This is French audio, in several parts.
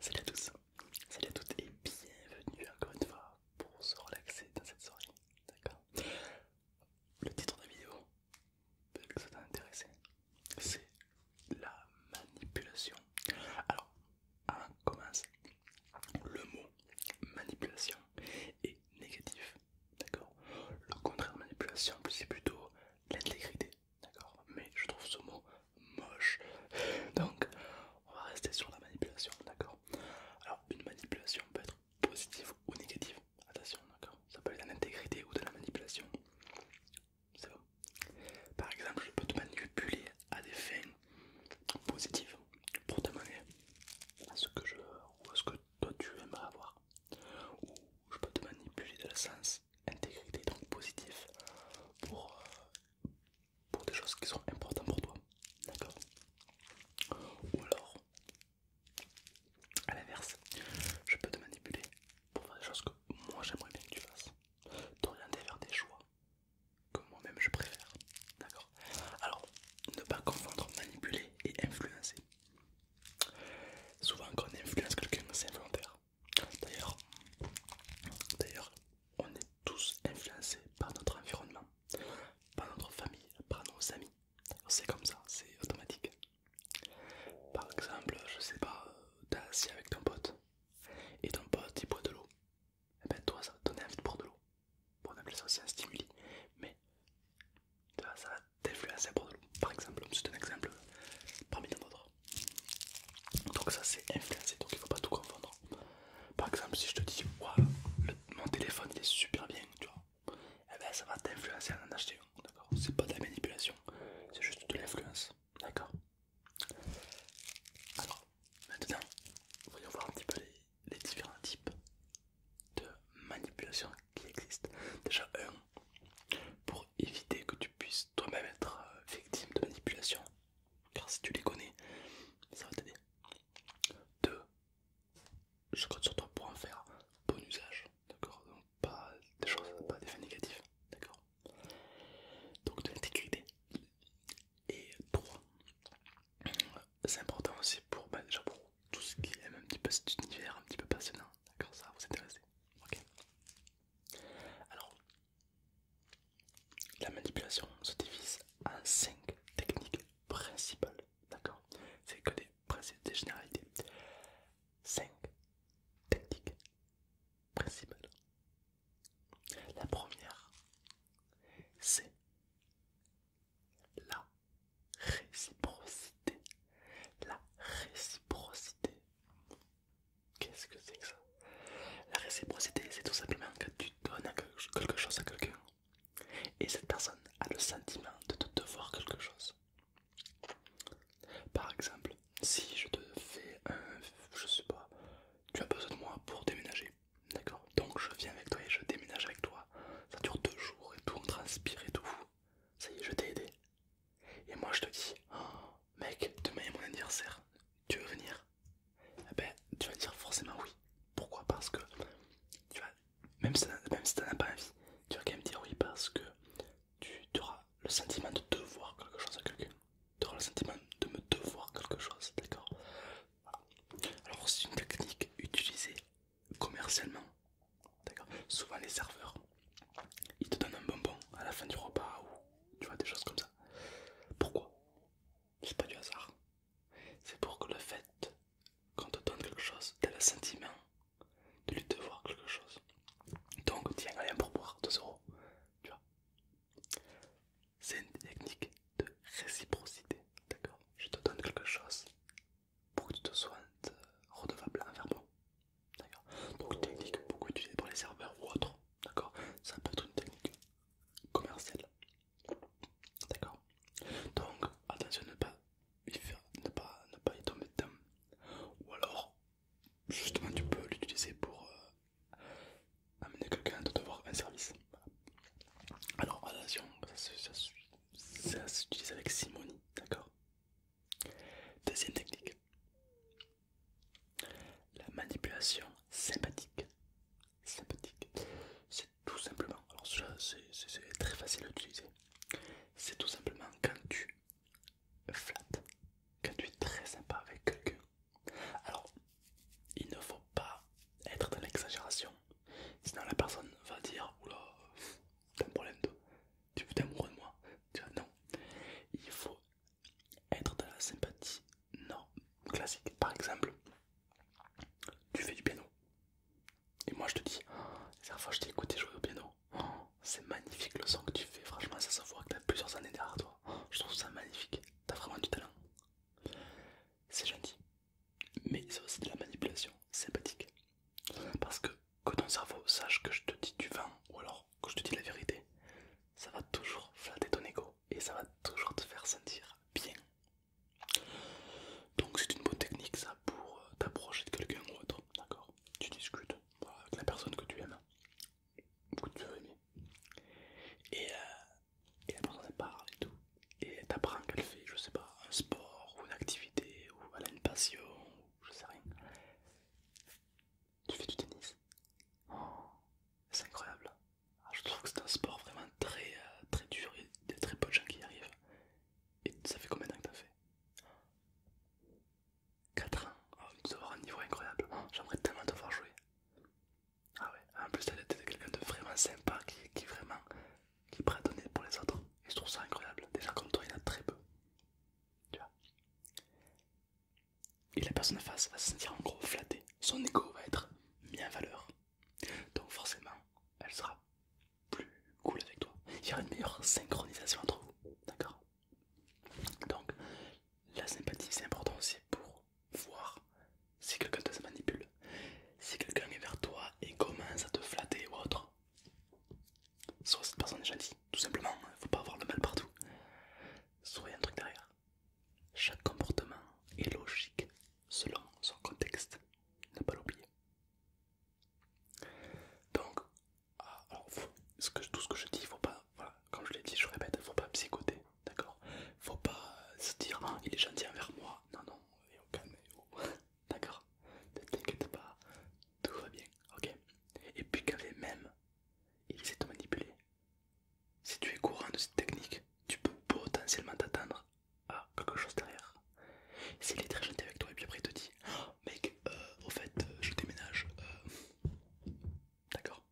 Salut à tous, salut à toutes et bienvenue encore une fois pour se relaxer dans cette soirée, d'accord Le titre de la vidéo, peut-être que ça t'a intéressé, c'est la manipulation. Alors, avant commence le mot manipulation, et négatif. D'accord Le contraire de manipulation, c'est plutôt l'intégrité. D'accord Mais je trouve ce mot moche. Donc, on va rester sur la manipulation. D'accord Alors, une manipulation peut être positive ou négative. Attention, d'accord Ça peut être de l'intégrité ou de la manipulation. C'est bon. Par exemple, je peux te manipuler à des fins positives pour te demander à ce que je ou ce que que tu aimerais avoir. Ou je peux te manipuler de la sens, intégrité, donc positif, pour, euh, pour des choses qui sont importantes pour toi. D'accord Ou alors, à l'inverse, je peux te manipuler pour faire des choses que moi j'aimerais bien que tu fasses. T'orienter vers des choix que moi-même je préfère. D'accord Alors, ne pas confondre manipuler et influencer. Souvent quand on influence quelqu'un, c'est involontaire. D'ailleurs, d'ailleurs, on est tous influencés par notre environnement, par notre famille, par nos amis. C'est comme ça, c'est automatique. Par exemple, je sais pas, t'as assis avec ton pote et ton pote il boit de l'eau. Et eh ben toi ça donne donner envie de boire de l'eau. Bon, on ça aussi un stimuli. Mais ça va d'influencer par exemple. C'est un exemple parmi d'autres. Donc, ça c'est influencé donc il ne faut pas tout confondre. Par exemple, si je te dis, mon téléphone il est super bien, tu vois, eh ben, ça va t'influencer à en acheter un. D'accord, c'est pas de la manipulation, c'est juste de l'influence. D'accord. Alors, maintenant, voyons voir un petit peu les différents types de manipulation qui existe. Déjà, un, pour éviter que tu puisses toi-même être euh, victime de manipulation, car si tu les connais, ça va t'aider. Deux, je compte sur toi pour en faire bon usage, d'accord Donc, pas des choses, oh. pas des fins négatifs d'accord Donc, de l'intégrité. Et trois, c'est important aussi pour, bah, déjà pour tout ce qui aime un petit peu cet univers un petit peu passionnant, d'accord Ça va vous intéresser. Ok Alors, la manipulation se divise en 5 techniques principales, d'accord C'est que des principes, des généralités. 5 techniques principales. La première, c'est la réciprocité. La réciprocité. Qu'est-ce que c'est que ça La réciprocité, c'est tout simplement que tu donnes quelque chose à quelqu'un et cette personne a le sentiment de te devoir quelque chose. Par exemple, si je te fais un, je sais pas, tu as besoin de moi pour déménager, d'accord Donc je viens avec toi et je déménage avec toi. Ça dure deux jours et tout, on transpire et tout, ça y est, je t'ai aidé. Et moi, je te dis, oh, mec, demain est mon anniversaire. Tu veux venir eh ben, tu vas dire forcément oui. Pourquoi Parce que tu vas, même si tu as pas envie, tu vas quand même dire oui parce que tu, auras le sentiment de devoir quelque chose à quelqu'un. Tu auras le sentiment de me devoir quelque chose, d'accord Alors, c'est une technique utilisée commercialement, d'accord Souvent les serveurs, ils te donnent un bonbon à la fin du repas ou tu vois des choses comme ça. Pourquoi C'est pas du hasard. C'est pour que le fait qu'on te donne quelque chose, as le sentiment de lui devoir quelque chose. Donc tiens, un pourboire, 2 euros, tu vois. C'est une technique de réciprocité, d'accord Je te donne quelque chose, pour que tu euh, te sois redevable envers moi. D'accord Donc, technique beaucoup oh. utilisée pour les serveurs ou autre D'accord Ça peut être une technique commerciale. D'accord Donc, attention ne pas ne pas, ne pas y tomber Ou alors, justement, tu peux l'utiliser pour euh, amener quelqu'un de te un service. Alors, attention, ça suit ça s'utilise avec simonie, d'accord Deuxième technique, la manipulation sympathique. Sympathique, c'est tout simplement, alors c'est très facile à utiliser, c'est tout simplement quand tu flattes, quand tu es très sympa avec quelqu'un. Alors, il ne faut pas être dans l'exagération, sinon la personne va dire, oula, t'as un problème toi, tu veux t'amoureux de moi, tu non, il faut être dans la sympathie non classique. Par exemple, tu fais du piano, et moi je te dis, oh, la dernière fois je t'ai écouté jouer au piano, oh, c'est magnifique le son que tu fais, franchement ça se voit que t'as plusieurs années derrière toi, je trouve ça magnifique, t'as vraiment du talent. C'est gentil, mais c'est aussi de la manipulation sympathique. Parce que quand ton cerveau sache que je te dis du vent ou alors que je te dis la vérité, ça va toujours flatter ton ego et ça va toujours te faire sentir bien. Donc c'est une bonne technique ça pour euh, t'approcher de quelqu'un ou autre, d'accord Tu discutes avec la personne que tu aimes, ou que tu veux aimer. Et, la euh, personne parle et tout, et t'apprends qu'elle fait, je sais pas, un sport ou une activité ou elle a une passion ou je sais rien. Tu fais du tennis oh, C'est incroyable. Ah, je trouve que c'est un sport vraiment très euh, très dur et des très peu de gens qui y arrivent. Et ça fait combien temps que t'as fait 4 ans, oh, tu un niveau incroyable, oh, j'aimerais tellement te voir jouer. Ah ouais, en plus elle était quelqu'un de vraiment sympa qui vraiment qui est prêt à donner pour les autres. Et je trouve ça incroyable. Déjà comme toi, il y en a très peu. Tu vois Et la personne en face va se sentir en gros flattée. Son ego va être mis en valeur. Donc forcément, elle sera plus cool avec toi. Il y aura une meilleure synchronisation entre vous. D'accord Donc la sympathie c'est important aussi pour voir si quelqu'un te manipule. Si quelqu'un est vers toi et commence à te flatter ou autre, Soit cette personne est gentille, tout simplement, hein, faut pas avoir le mal partout. Soit y'a un truc derrière. Chaque comportement est logique selon son contexte, ne pas l'oublier. Donc, ah, tout ce que je dis, faut pas, comme je l'ai dit, je répète, faut pas psychoter, d'accord Faut pas se dire, ah, il est gentil envers moi, non, non, au calme, D'accord Ne t'inquiète pas, tout va bien, ok Et puis quand même mêmes, ils te manipuler. Si tu es courant de cette technique, tu peux potentiellement t'attendre à quelque chose derrière. S'il est très gentil avec toi et puis après il te dit oh, mec, euh, au fait, euh, je déménage. Euh. D'accord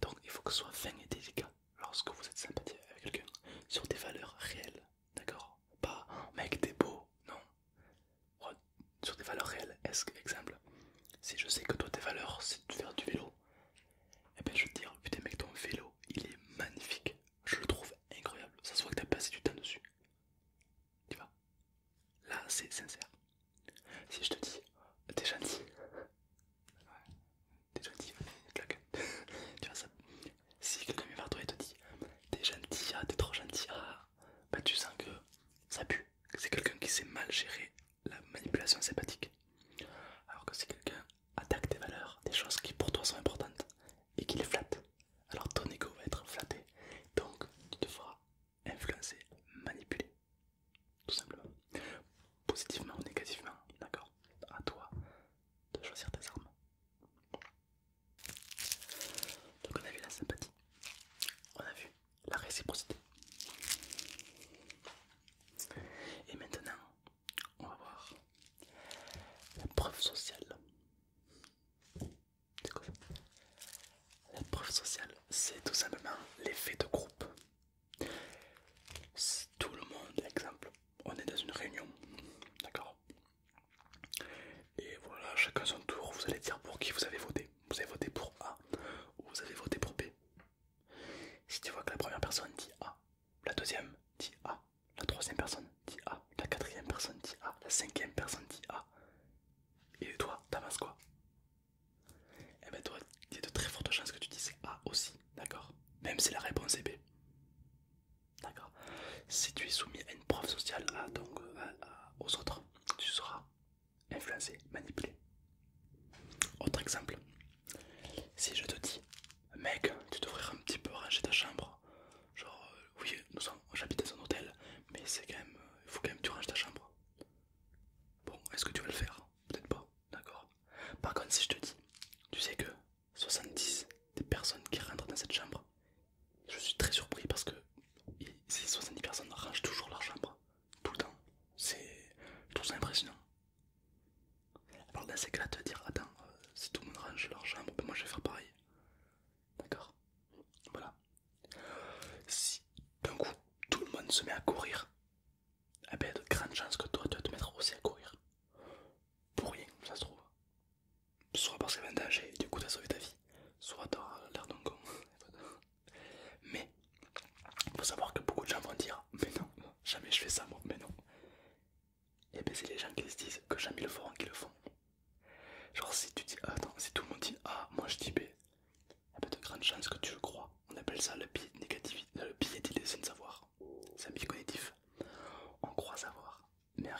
Donc il faut que ce soit fin et délicat lorsque vous êtes sympathique avec quelqu'un sur des valeurs réelles D'accord Pas mec, t'es beau, non. Sur des valeurs réelles, est-ce que, exemple, si je sais que toi tes valeurs c'est de faire du vélo, et eh bien je vais te dire, putain mec, ton vélo il est magnifique, je le trouve incroyable, ça se voit que t'as passé du temps dessus. Tu vois Là c'est sincère. Si je te dis, t'es gentil, ouais, t'es gentil, claque, tu vois ça, si quelqu'un vient vers toi et te dit t'es gentil, t'es trop gentil, bah tu sens que ça pue, c'est quelqu'un qui sait mal gérer la manipulation sympathique. Alors que si quelqu'un attaque tes valeurs, des choses qui pour toi sont importantes et qui les flatte, alors ton ego va être flatté, donc tu te feras influencer, manipuler, tout simplement, positivement ou négativement, d'accord À toi de choisir tes armes. Donc on a vu la sympathie, on a vu la réciprocité. Et maintenant, on va voir la preuve sociale. La preuve sociale, c'est tout simplement l'effet de groupe. tout le monde, exemple, on est dans une réunion, d'accord et voilà, chacun son tour, vous allez dire pour qui vous avez voté. Vous avez voté pour A ou vous avez voté pour B. Si tu vois que la première personne dit A, la deuxième dit A, la troisième personne dit A, la quatrième personne dit A, la cinquième personne dit A, et toi, t'avances quoi Eh bien toi, il y a de très fortes chances que tu dises A aussi, d'accord Même si la réponse est B. D'accord Si tu es soumis à une preuve sociale, ah, donc, euh, aux autres, tu seras influencé, manipulé. Autre exemple, si je te dis, mec, tu devrais un petit peu ranger ta chambre. Genre, euh, nous sommes, j'habite dans un hôtel, mais c'est quand même, euh, il faut quand même que tu ranges ta chambre. Bon, est-ce que tu vas le faire Peut-être pas, d'accord Par contre, si je te dis, tu sais que 70 des personnes qui rentrent dans cette chambre. Je suis très surpris parce que ces 70 personnes rangent toujours leur chambre, tout le temps. C'est tout ça impressionnant. Alors dans ces cas-là, te dire, attends, euh, si tout le monde range leur chambre, ben, moi je vais faire pareil. D'accord Voilà. Si d'un coup tout le monde se met à courir, eh ben, il y a de grandes chances que toi tu vas te mettre aussi à courir. Pour rien, ça se trouve soit parce qu'elle un danger et du coup t'as sauvé ta vie, soit t'auras l'air d'un con. mais il faut savoir que beaucoup de gens vont dire Mais non, jamais je fais ça moi, mais non. Et ben c'est les gens qui se disent que jamais ils le feront qui le font. Genre si tu dis attends, si tout le monde dit ah moi je dis B, il y a de grandes chances que tu le crois. On appelle ça le biais négatif, le biais savoir. C'est un biais cognitif. On croit savoir, mais en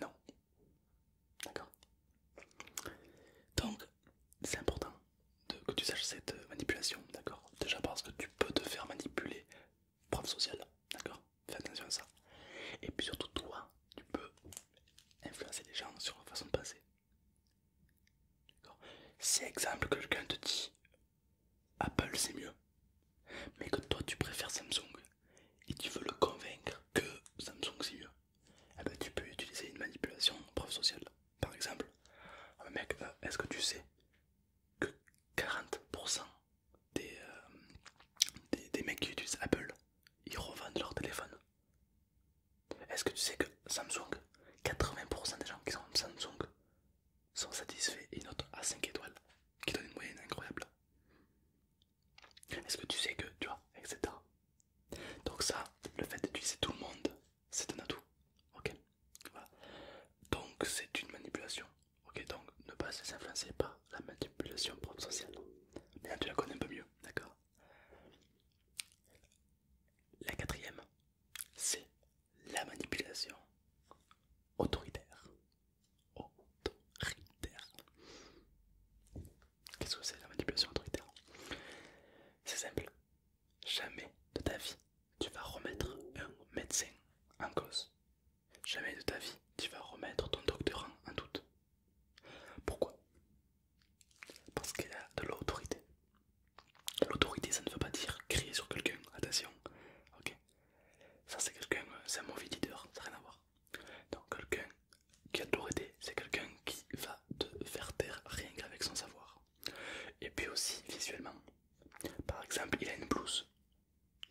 non. D'accord Donc, c'est important que tu saches cette manipulation, d'accord Déjà parce que tu peux te faire manipuler, preuve sociale, d'accord Fais attention à ça. Et puis surtout, toi, tu peux influencer les gens sur la façon de penser. Si exemple quelqu'un te dit Apple c'est mieux, mais que toi tu préfères Samsung et tu veux le convaincre que Samsung c'est mieux, eh ben, tu peux utiliser une manipulation preuve sociale. Par exemple, ah, mec, euh, est-ce que tu sais que 40% des, euh, des, des mecs qui utilisent Apple ils revendent leur téléphone Est-ce que tu sais que Samsung, 80% des gens qui sont Samsung sont satisfaits et une à 5 étoiles qui donne une moyenne incroyable est-ce que tu sais que, tu vois, etc. Donc ça, le fait c'est tout le monde, c'est un atout. Ok Donc c'est une manipulation. Ok, donc ne pas se influencer par la manipulation propre sociale. tu la connais un peu mieux, d'accord La quatrième, c'est la manipulation autoritaire autoritaire. Qu'est-ce que c'est la manipulation autoritaire C'est simple. Jamais de ta vie tu vas remettre un médecin en cause. Jamais de ta vie tu vas remettre ton docteur en, doute. Pourquoi Parce y a de l'autorité. L'autorité, ça ne veut pas dire crier sur quelqu'un, attention. Ok. Ça c'est quelqu'un, euh, c'est un mauvais leader, ça n'a rien à voir. Donc quelqu'un qui a tout c'est quelqu'un qui va te faire taire rien qu'avec son savoir. Et puis aussi visuellement. Par exemple, il a une blouse.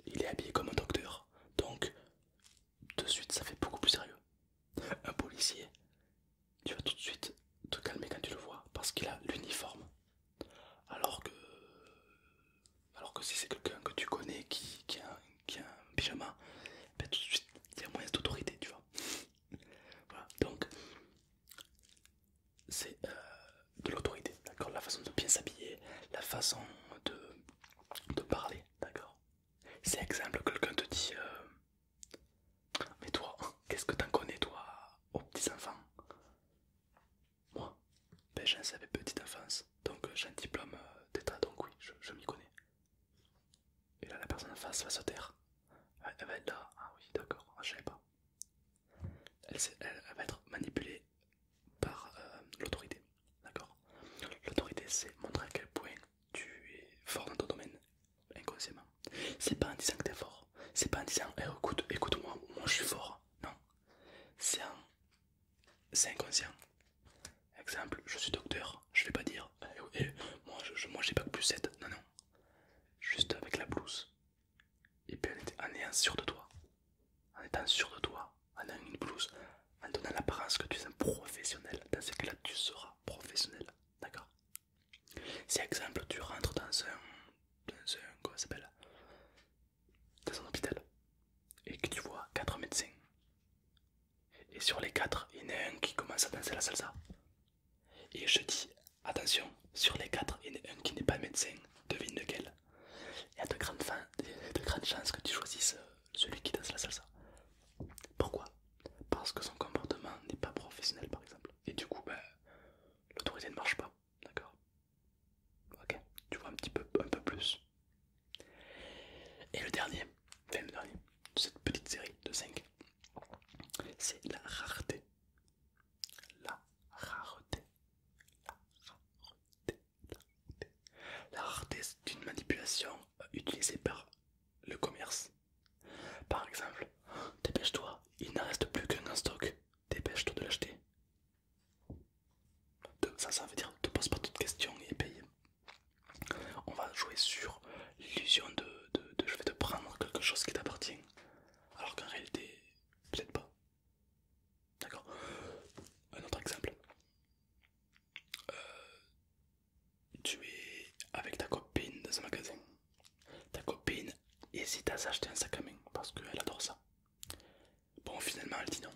Il est habillé comme un docteur. Donc de suite ça fait beaucoup plus sérieux. Un policier, tu vas tout de suite te calmer quand tu le vois parce qu'il a l'uniforme. Alors que alors que si c'est quelqu'un que tu connais qui, a, un pyjama, ben tout de suite il y a moins d'autorité, tu vois. voilà, donc c'est euh, de l'autorité, d'accord La façon de bien s'habiller, la façon de, de parler, d'accord C'est exemple, quelqu'un te dit euh, Mais toi, qu'est-ce que t'en connais, toi, aux petits enfants moi, ben j'en savais petite enfance, donc euh, j'ai un diplôme euh, d'état, donc oui, je, m'y connais. Et là, la personne en face va se taire. Elle, va être là, ah oui, d'accord, ah, je sais pas. Elle, va être manipulée par euh, l'autorité, d'accord L'autorité, c'est montrer à quel point tu es fort dans ton domaine, inconsciemment. C'est pas en disant que t'es fort, c'est pas en disant, eh, écoute, écoute-moi, moi je suis fort, non. C'est en c'est inconscient. Exemple, je suis docteur, je vais pas dire eh, eh, moi j'ai pas que plus 7, non, non, juste avec la blouse. Et puis en étant sûr de toi, en étant sûr de toi, en ayant une blouse, en donnant l'apparence que tu es un professionnel, dans ce cas-là tu seras professionnel, d'accord Si exemple tu rentres dans un, dans un, comment s'appelle dans un hôpital et que tu vois quatre médecins. Et sur les quatre, il y en a un qui commence à danser la salsa. Et je dis, attention, sur les quatre, il y en a un qui n'est pas médecin, devine lequel. Il y a de grandes, chances que tu choisisses euh, celui qui danse la salsa. Pourquoi Parce que son comportement n'est pas professionnel par exemple. Et du coup, ben, l'autorité ne marche pas. D'accord Ok, tu vois un petit peu, un peu plus. Et le dernier, le dernier de cette petite série de 5, c'est la rareté. La rareté. La rareté. La rareté, la rareté c'est une manipulation euh, utilisée par le commerce. Par exemple, dépêche-toi, il n'en reste plus qu'un en stock. Dépêche-toi de l'acheter ça, ça veut dire te pose pas toute question et paye. On va jouer sur l'illusion de, de, je vais te prendre quelque chose qui t'appartient, alors qu'en réalité, peut-être pas. D'accord Un autre exemple. Euh, tu es avec ta copine dans un magasin. Ta copine hésite à s'acheter un sac à main parce qu'elle adore ça. Bon, finalement, elle dit non.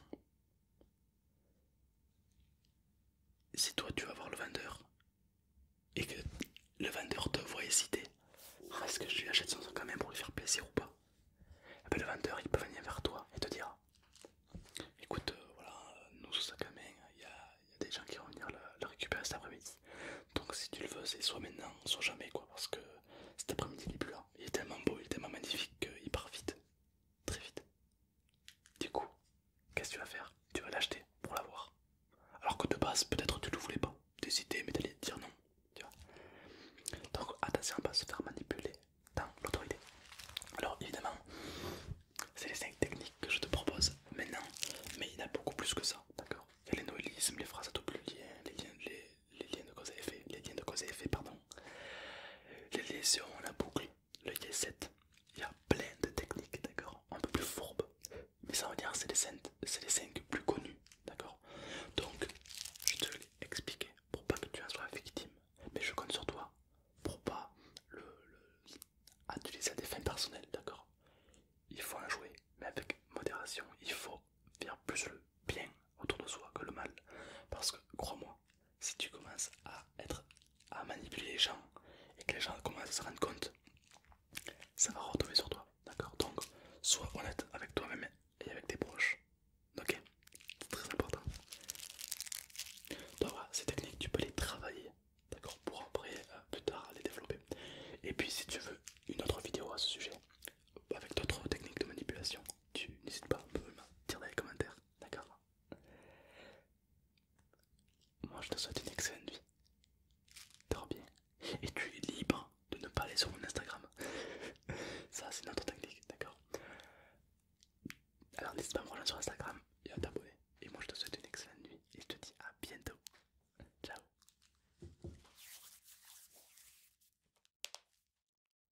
Si toi tu vas voir le vendeur et que le vendeur te voit hésiter, ah, est-ce que tu lui achète son sac à même pour lui faire plaisir ou pas et eh ben, Le vendeur il peut venir vers toi et te dire Écoute, euh, voilà, nous, sous sac à main, il y, a des gens qui vont venir le, récupérer cet après-midi. Donc, si tu le veux, c'est soit maintenant, soit jamais, quoi, parce que cet après-midi il est plus Il est tellement beau, il est tellement magnifique qu'il part vite très vite. Du coup, qu'est-ce que tu vas faire Tu vas l'acheter pour l'avoir. Alors que de base, peut-être tu ne le voulais pas. décider mais t'allais dire non. Tu vois Donc attention à ne pas se faire manipuler dans l'autorité. Alors évidemment, c'est les 5 techniques que je te propose maintenant, mais il y en a beaucoup plus que ça, d'accord Il y a les noélismes, les phrases à double lien, les liens, les les liens de cause et effet, les liens de cause effet, pardon. lésions, la boucle, le Y7, il y a plein de techniques, d'accord, un peu plus fourbes mais ça veut dire c'est les 5 plus connus, d'accord. Donc je te l'ai pour pas que tu en sois victime, mais je compte sur toi pour pas le, à utiliser des fins personnelles, d'accord. Il faut en jouer, mais avec modération, il faut faire plus le bien autour de soi que le mal. Parce que, crois-moi, si tu commences à être à manipuler les gens et que les gens commencent à se rendre compte, ça va retomber sur toi, d'accord Donc, sois honnête avec toi-même et avec tes proches, ok très important. Donc voilà, ces techniques, tu peux les travailler, d'accord Pour après, euh, plus tard, les développer. Et puis, si tu veux une autre vidéo à ce sujet, avec d'autres techniques de manipulation, tu n'hésites pas à me dire dans les commentaires. D'accord Moi je te souhaite une excellente nuit, Dors bien. Et tu es libre de ne pas aller sur mon Instagram. Ça c'est notre technique, d'accord Alors n'hésite pas à me rejoindre sur Instagram et à t'abonner. Et moi je te souhaite une excellente nuit et je te dis à bientôt. Ciao